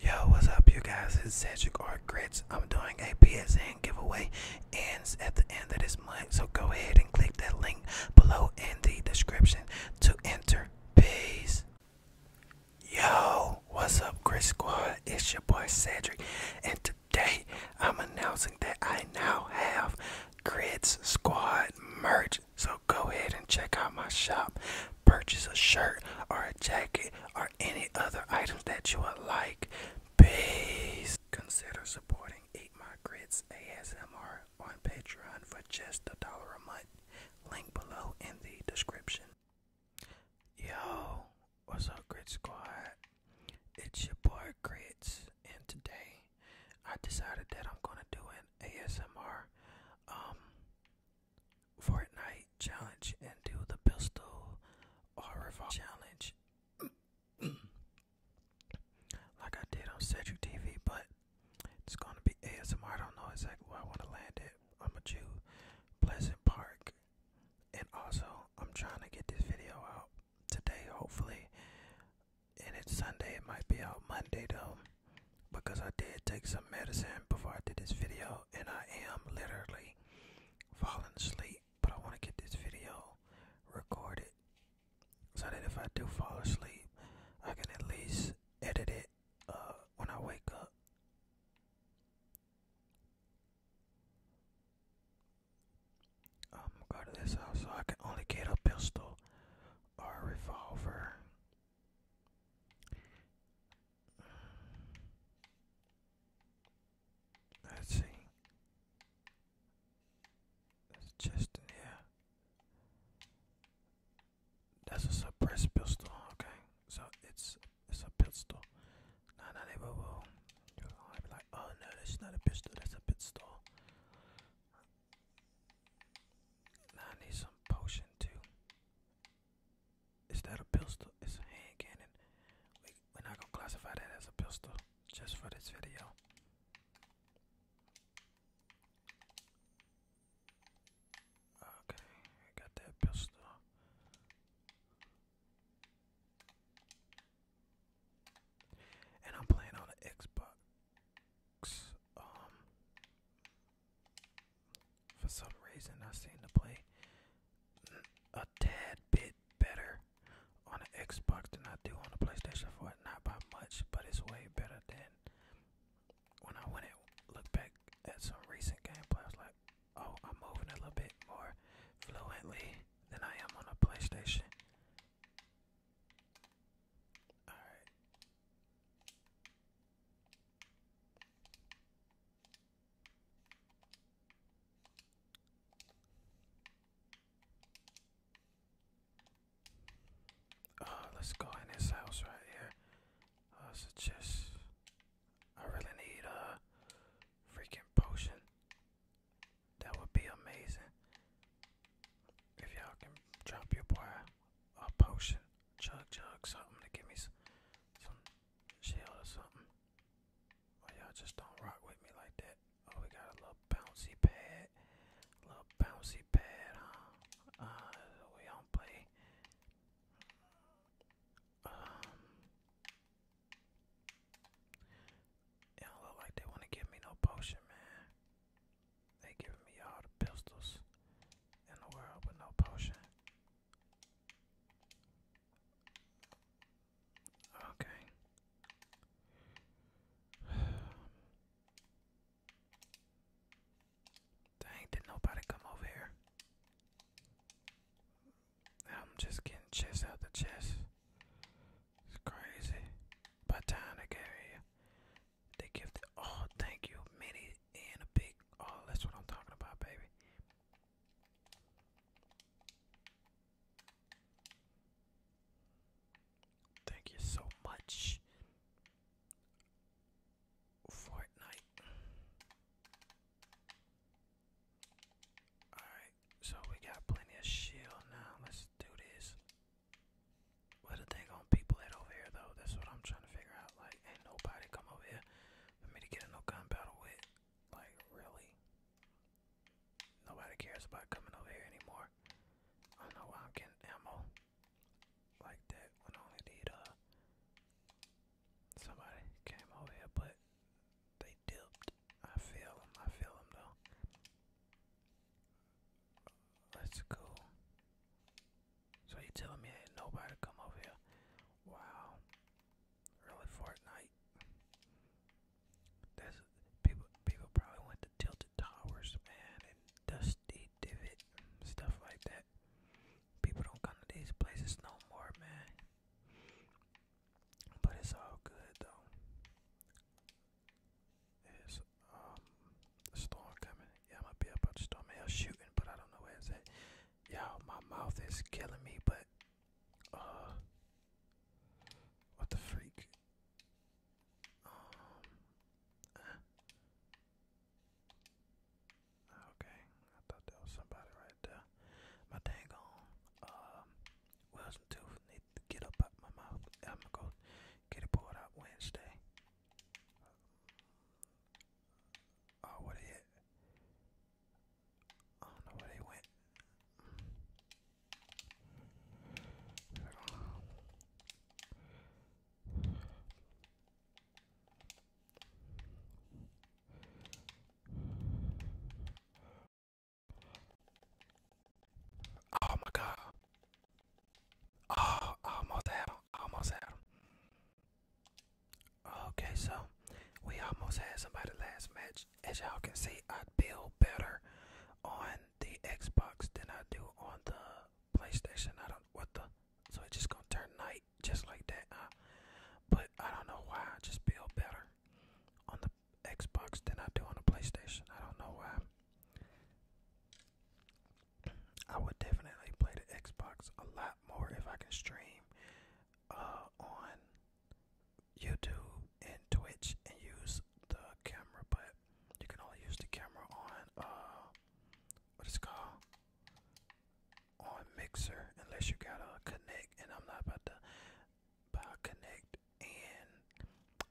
Yo, what's up, you guys? It's Cedric Art Grits. I'm doing a PSN giveaway. Ends at the end of this month, so go ahead and click that link below in the description to enter. Peace. Yo, what's up, Grits Squad? It's your boy Cedric, and today I'm announcing that I now have Grits Squad merch. So go ahead and check out my shop. Purchase a shirt or a jacket or any other items that you would like. Please Consider supporting Eat My Grits ASMR on Patreon for just a dollar a month. Link below in the description. Yo, what's up, Grit Squad? It's your boy Grits, and today I decided that I'm gonna do an ASMR. Um, Fortnite challenge and do the pistol or revolver challenge like I did on Cedric TV, but it's gonna be ASMR. I don't know exactly where I want to land it. I'm gonna Pleasant Park, and also I'm trying to get this video out today, hopefully. And it's Sunday, it might be out Monday though because I did take some medicine before I did this video and I am literally falling asleep but I want to get this video recorded so that if I do fall asleep I can at least edit it uh, when I wake up I'm gonna this house so I can only get a pistol or revolver Let's see. There's a chest That's a suppressed pistol, okay? So it's it's a pistol. No, no, they will. You'll be like, oh no, that's not a pistol. That's a pistol. I need some potion too. Is that a pistol? It's a hand cannon. We, are not gonna classify that as a pistol just for this video. Okay, got that pistol. And I'm playing on an Xbox. Um, for some reason, I seem to play a tad bit better on the Xbox than I do on the PlayStation 4. Not by much, but it's way better than when I went and looked back at some recent gameplay. I was like, oh, I'm moving a little bit more fluently than I am on a PlayStation. Alright, uh, let's go in this house right here. Uh, oh, so just I really need a freaking potion. That would be amazing. If y'all can drop your boy a potion. Chug chug something to give me some, some shield or something. Oh y'all just don't rock with me like that. Oh we got a little bouncy pad. little bouncy pad, huh? Uh we do play. Um It look like they wanna give me no potion, man. They giving me all the pistols in the world with no potion. Okay. Dang, did nobody come over here? I'm just getting chess out the chest. It's crazy. By the time they give oh thank you many and a big oh that's what I'm talking about baby. Thank you so much. Fortnite. Alright, so we got plenty of shield now. Let's do this. What the thing on people at over here though? That's what I'm trying to figure out. Like, ain't nobody come over here for me to get a no gun battle with. Like, really? Nobody cares about coming over here anymore. I don't know why I'm getting ammo like that when I only need uh somebody came over here, but they dipped. I feel them. I feel them though. Let's go. So you telling me ain't nobody come over here? Wow. Really Fortnite. That's people people probably went to Tilted Towers, man, and Dusty Divot, stuff like that. People don't come to these places no more, man. But it's all good though. There's um a storm coming. Yeah, I'm gonna be about the storm. Hell shooting, but I don't know where it's Y'all, my mouth is killing me, but uh what the freak? Um uh, Okay, I thought there was somebody right there. My dang on. Um Wilson tooth need to get up out my mouth. I'm gonna go get it pulled out Wednesday. Oh, what a I don't know where they went. Oh my god. Oh, almost had him. almost had him. Okay, so we almost had somebody last match. As y'all can see, I build better on the Xbox than I do on the PlayStation. I don't what the so it's just gonna turn night just like that. but I don't know why I just build better on the Xbox than I do on the PlayStation. I don't know why. I would definitely play the Xbox a lot more if I can stream uh, on YouTube and Twitch and use the camera, but you can only use the camera on uh, what is it called on Mixer unless you got a Connect, and I'm not about to buy Connect and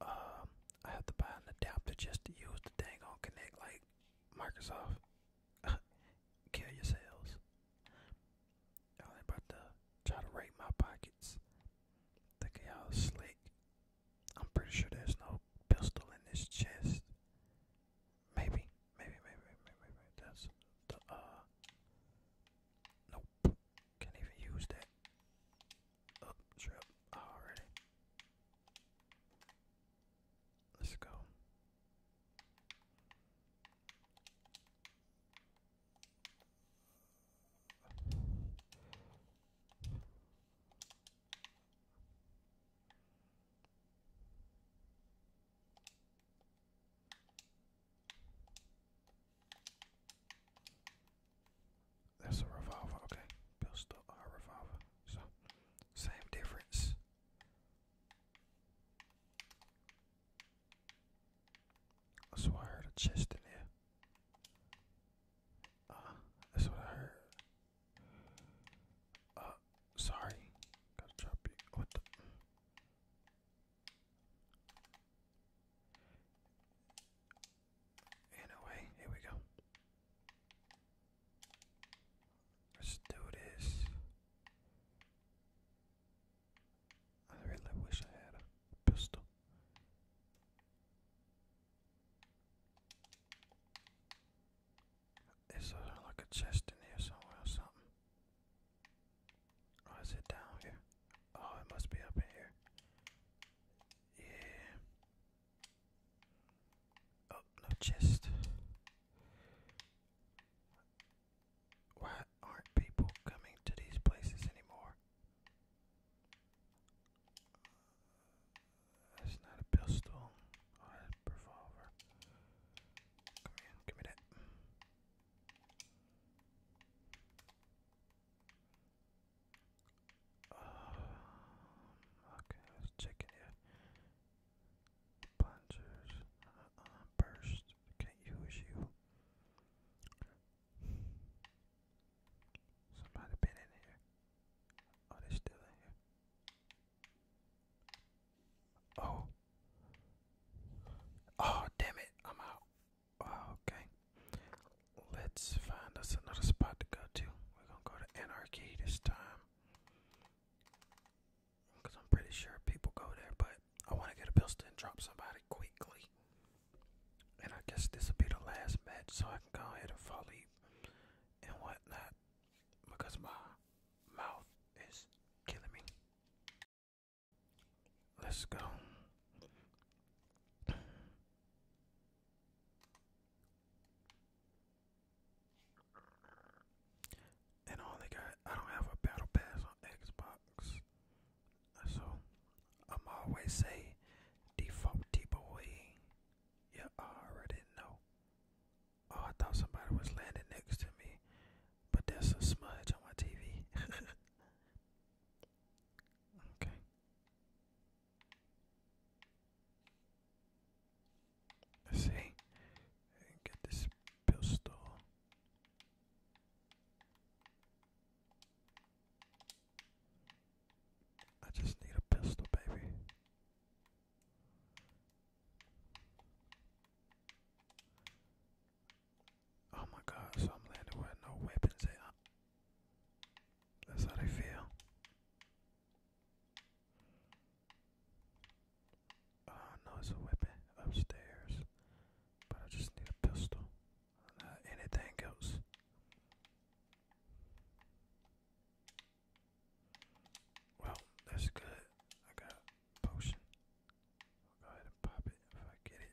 um, I have to buy an adapter just to use the dang on Connect like Microsoft. Kill yourselves. Y'all ain't about to try to rape my pockets. Think y'all slick. I'm pretty sure there's no pistol in this chest. Maybe, maybe, maybe, maybe, maybe. That's the, uh, nope. Can't even use that. Oh, trip. Alrighty. Let's go. That's a revolver, okay. Pistol or a revolver. So same difference. That's what I heard a chest in there. Uh, that's what I heard. Uh, sorry. Gotta drop you. What the? And here we go. Let's do this. I really wish I had a pistol. Is there like a chest in here somewhere or something? is it down here? Oh, it must be up in here. Yeah. Oh, no chest. Why aren't people coming to these places anymore? That's not a pistol or oh, a revolver. Come here, give me that. Um, okay, let's check in here. Plungers, uh, burst, can't use you. Somebody been in here. Oh, they still in here. Oh. Oh, damn it. I'm out. Oh, okay. Let's find us another spot to go to. We're gonna go to Anarchy this time. Because I'm pretty sure people go there, but I want to get a pistol and drop somebody quickly. And I guess this will be the last match, so I can go ahead and fall asleep and whatnot. Because my mouth is killing me. Let's go. And I only got I don't have a battle pass on Xbox. So I'm always say default T boy. Yeah, already know. Oh, I thought somebody was landing next to me, but there's a smudge on my TV. okay. Let's see. Get this pistol. I just need a pistol, baby. Oh my god, so I'm landing with no weapons at that's how they feel. Oh uh, no, it's a weapon upstairs. But I just need a pistol. Not uh, anything else. Well, that's good. I got potion. go ahead and pop it if I get it.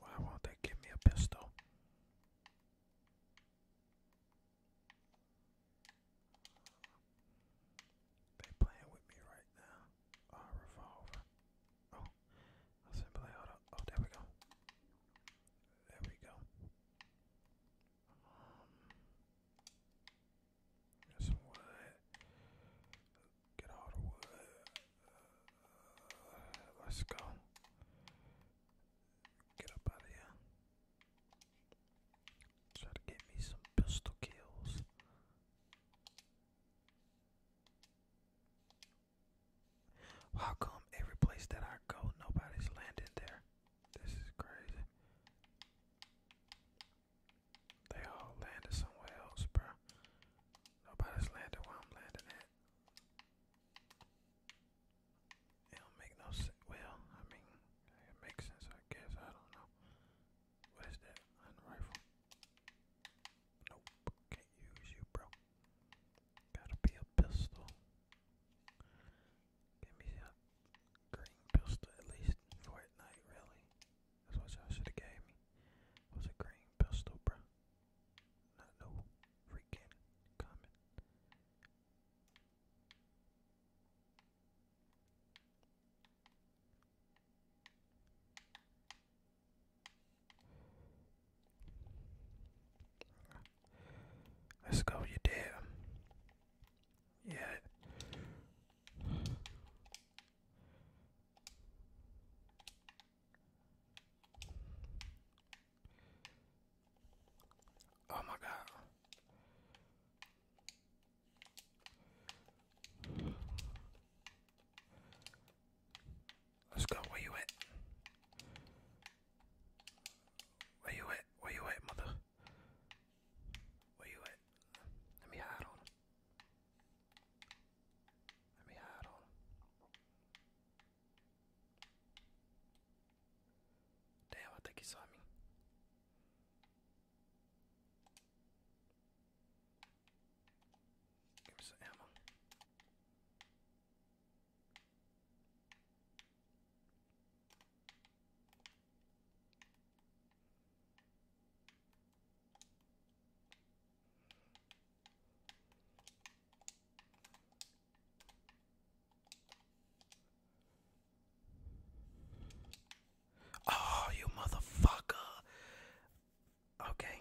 Why won't they give me a pistol? They playing with me right now. Oh, revolver. Oh, I simply hold up. Oh, there we go. There we go. Um, Got some wood. Get all the wood. Uh, let's go. Get up out of here. Try to get me some pistol kills. How come every place that I go, nobody's landing there? This is crazy. They all landed somewhere else, bro. Nobody's landed where I'm landing at. It don't make no sense. Well, I mean, it makes sense, I guess. I don't know. What is that? Hunting rifle? Nope. Can't use you, bro. Gotta be a pistol. Give me a green pistol at least for at night, really. That's what y'all should have gave me. Was a green pistol, bruh. Not no freaking comment. Let's go, you did. Yeah, Oh my God. Let's go. Where you at? Where you at? Where you at, mother? Where you at? Let me hide on him. Let me hide on him. Damn, I think he saw me. Give me some ammo. Oh, you motherfucker. Okay.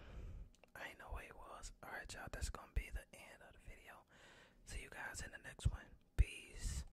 I know what it was. Alright, y'all. That's gonna be the end of the video. See you guys in the next one. Peace.